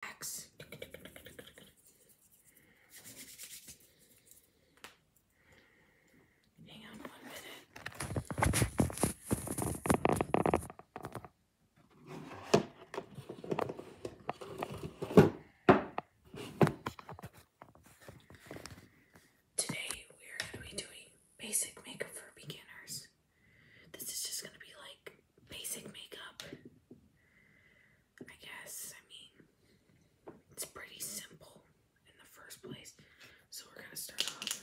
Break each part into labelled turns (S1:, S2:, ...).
S1: Today we are going to be doing basic makeup for beginners. This is just going to be like basic makeup. I guess. I mean, it's pretty simple in the first place. So we're going to start off.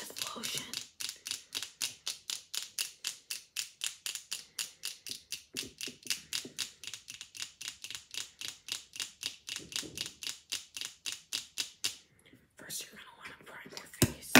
S1: With lotion. First, you're going to want to prime your face.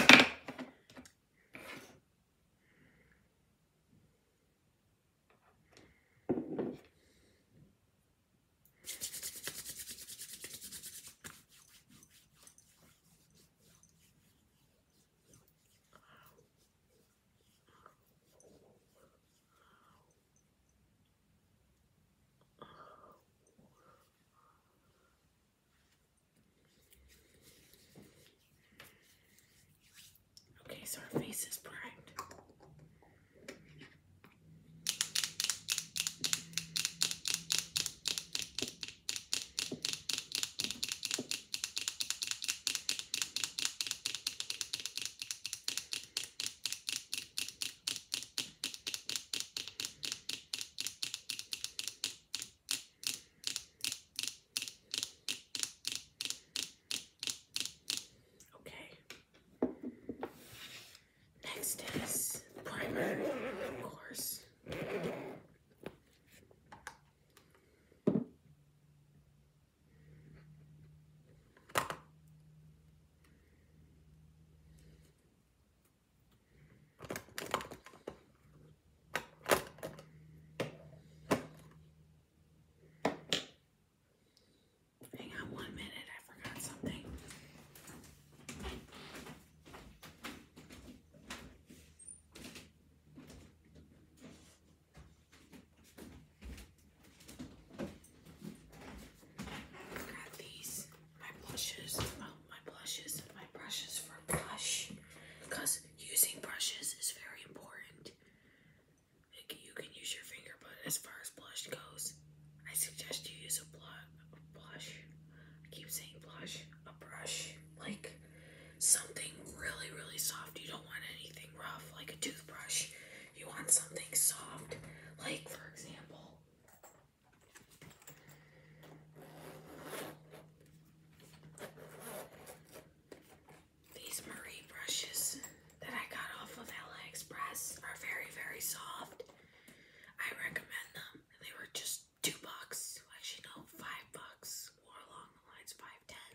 S1: Okay, so our face is primed. Okay. Next is primer, of course. Hang on one minute, I forgot something. Grab these, my blushes, oh, my blushes, my brushes for blush, because using brushes is very important. you can use your finger, but as far as blush goes, I suggest you use a blush, a blush. I keep saying blush. A brush. Like something really, really soft. You don't want anything rough, like a toothbrush. You want something soft. Like, for example, these Marie brushes that I got off of AliExpress are very, very soft. I recommend them. They were just two bucks. Actually, no, five bucks. or along the lines, five ten.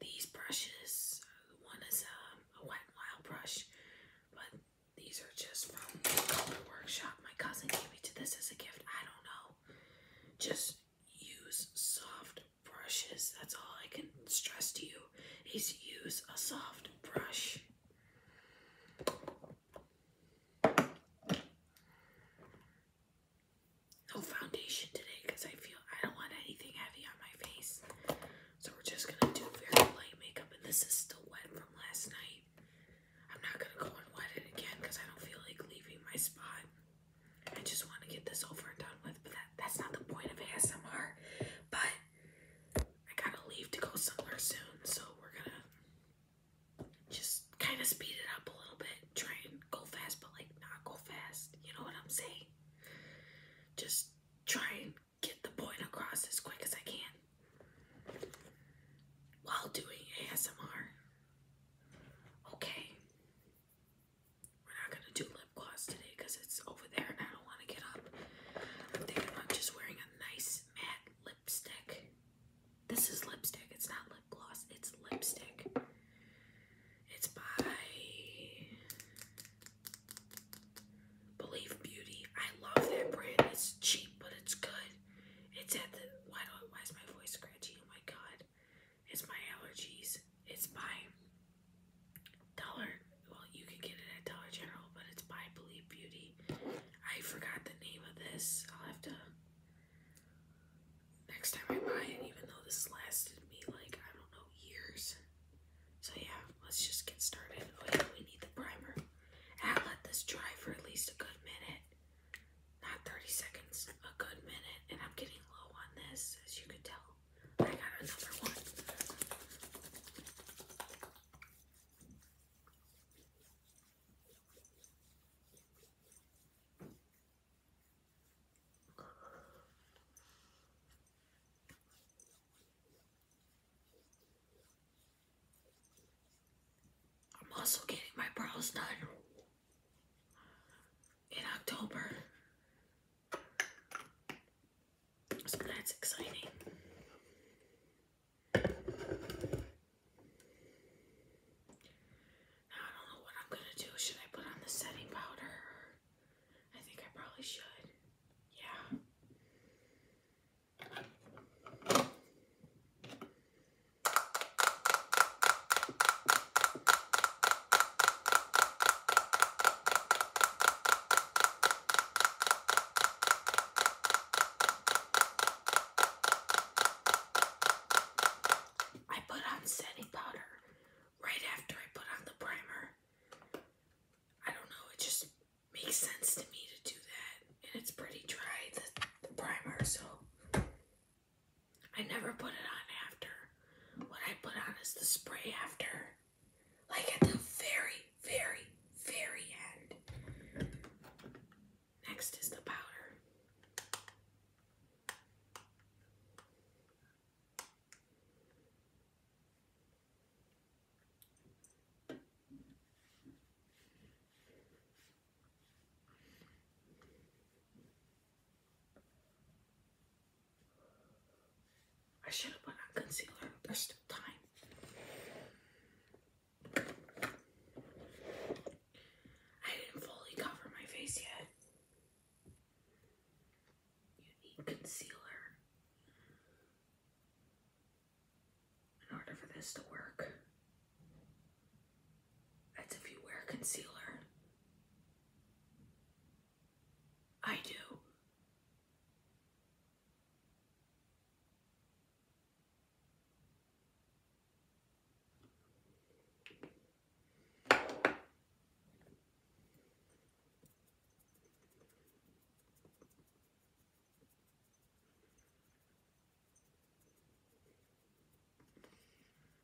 S1: These brushes, one is um, a Wet Wild brush, but these are just from Color Workshop. My cousin gave me to this as a gift. I don't know. Just use soft brushes. That's all I can stress to you is use a soft brush. No foundation today because I feel I don't want anything heavy on my face. So we're just gonna do very light makeup, and this is still wet from last night. I'm not gonna go and wet it again because I don't feel like leaving my spot. I just want to get this over and done with, but that's not the point of ASMR. But I gotta leave to go somewhere soon, so we're gonna just kind of speed it up a little bit. Try and go fast, but like not go fast. You know what I'm saying? Just try and get the point across as quick as I can while doing ASMR. Okay. We're not gonna do lip gloss today because it's over there and I don't want to get up. I'm thinking about just wearing a nice matte lipstick. This is lipstick. It's not lip gloss. It's lipstick. It's by Believe Beauty. I love that brand. It's cheap, but it's good. It's at the why do why is my voice scratchy? Oh my god. It's my allergies. It's by Dollar well, you can get it at Dollar General, but it's by Believe Beauty. I forgot the name of this. I'll have to next time I buy it, even though this lasted me like I don't know years. So yeah, let's just get started. Oh yeah, we need the primer. I'll ah, let this dry for at least a good minute. Not 30 seconds, a good minute. And I'm getting low on this, as you can tell. I got another one. I'm also getting my brows done in October. So that's exciting. I don't know what I'm gonna do. Should I put on the setting powder? I think I probably should. Yeah. I put on setting powder right after I put on the primer. I don't know, it just makes sense to me to do that. And it's pretty dry, the, the primer, so I never put it on after. What I put on is the spray after. Like at the very, very, very end. Next is the powder. I should have put on concealer. There's still time. I didn't fully cover my face yet. You need concealer in order for this to work. That's if you wear concealer. I do.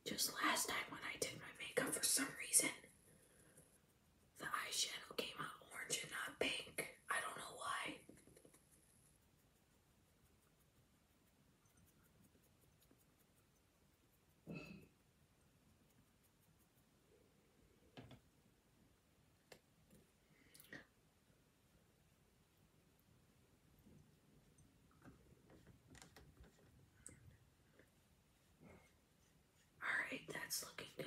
S1: Just last night, when I did my makeup for some reason, the eyeshadow came out orange and not pink. I don't know why. Alright, that's looking good.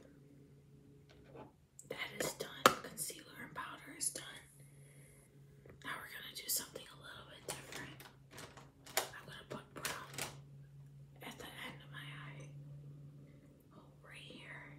S1: That is done. Concealer and powder is done. Now we're gonna do something a little bit different. I'm gonna put brown at the end of my eye. Oh, right here.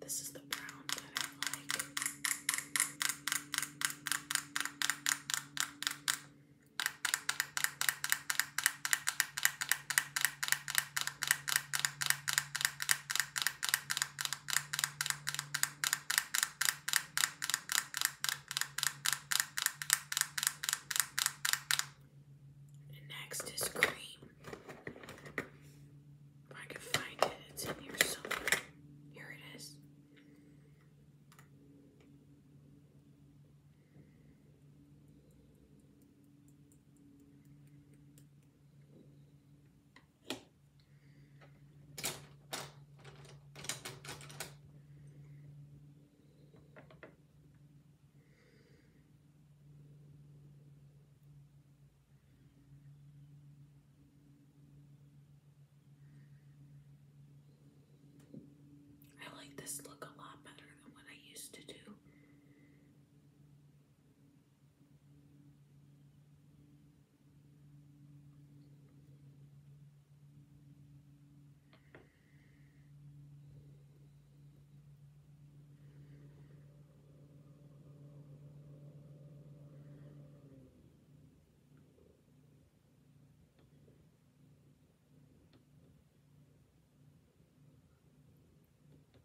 S1: This is the brown that I like. And next is cream. If I can find it, it's in here somewhere. Here it is. I like this look a lot better than what I used to do.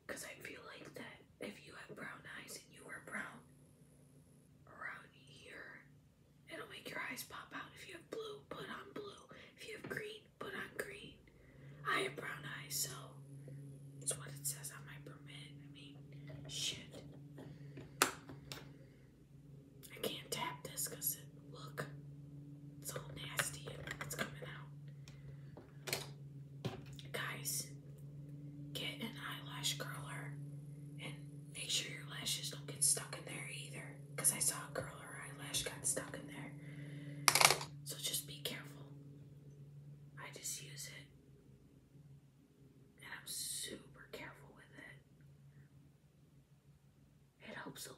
S1: Because I feel like that if you have brown eyes and you wear brown around here, it'll make your eyes pop out. If you have blue, put on blue. If you have green, but on green. I have brown eyes, so that's what it says on my permit. I mean, shit. I can't tap this because it, look, it's all nasty and it's coming out. Guys, get an eyelash curler and make sure your lashes don't get stuck in there either because I saw a girl, her eyelash got stuck in there. So just be careful. I just use it. And I'm super careful with it. It helps a lot.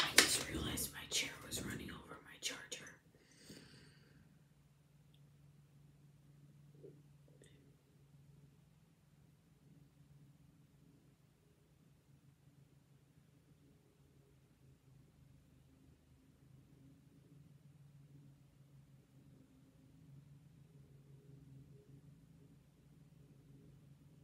S1: I just realized my chair was running over my charger.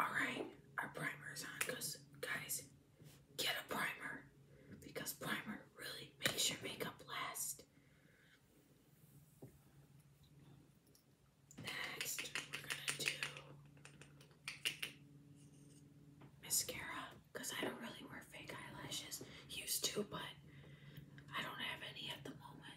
S1: Alright, our primer is on because, guys, get a primer because primer really makes your makeup last. Next, we're gonna do mascara because I don't really wear fake eyelashes. Used to, but I don't have any at the moment.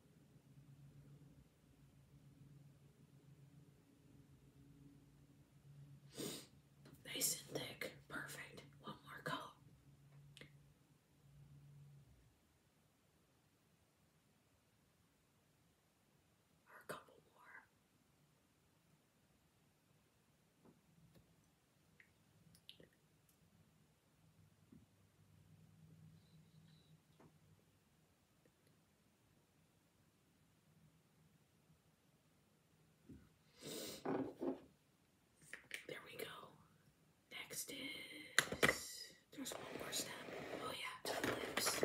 S1: Nice and thick. Perfect. One more coat. Or a couple more. There we go. Next is there's one more step. Oh yeah, lips.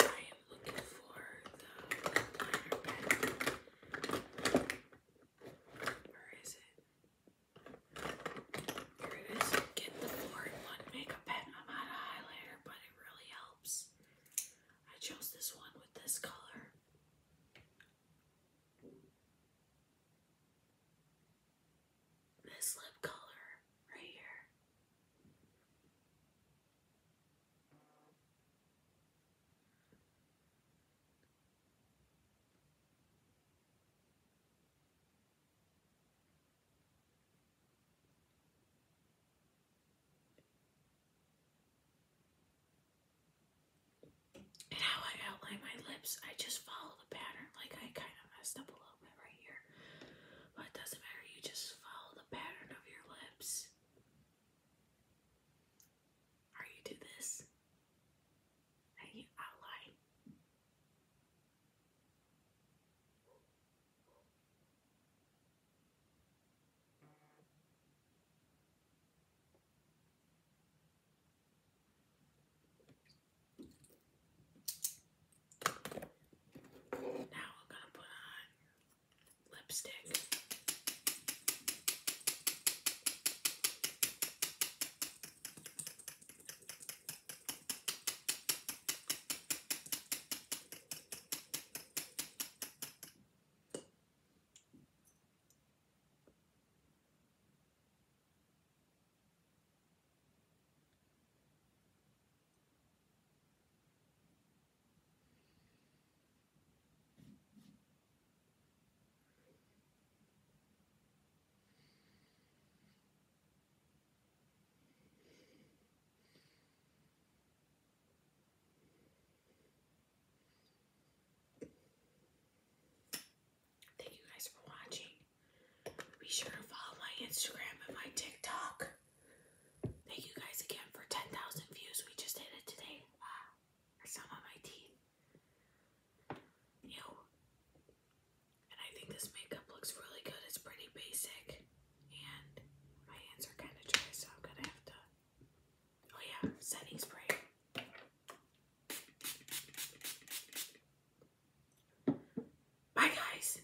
S1: I am looking for the where is it? Get the 4 1 makeup I'm out of highlighter, but it really helps. I chose this one with this color. This lip color right here how I outline my lips, I just follow the pattern. Like I kind of messed up a little bit right here, but it doesn't matter. You just follow the pattern of your lips. Are you do this? Hey, I like. Now we're gonna put on lipstick. Thank you guys for watching. Be sure to follow my Instagram and my TikTok. Thank you guys again for 10,000 views. We just hit it today. Wow. Ah, There's my teeth. Ew. And I think this makeup looks really good. It's pretty basic. And my hands are kind of dry, so I'm going to have to... Oh yeah, setting spray. Bye guys!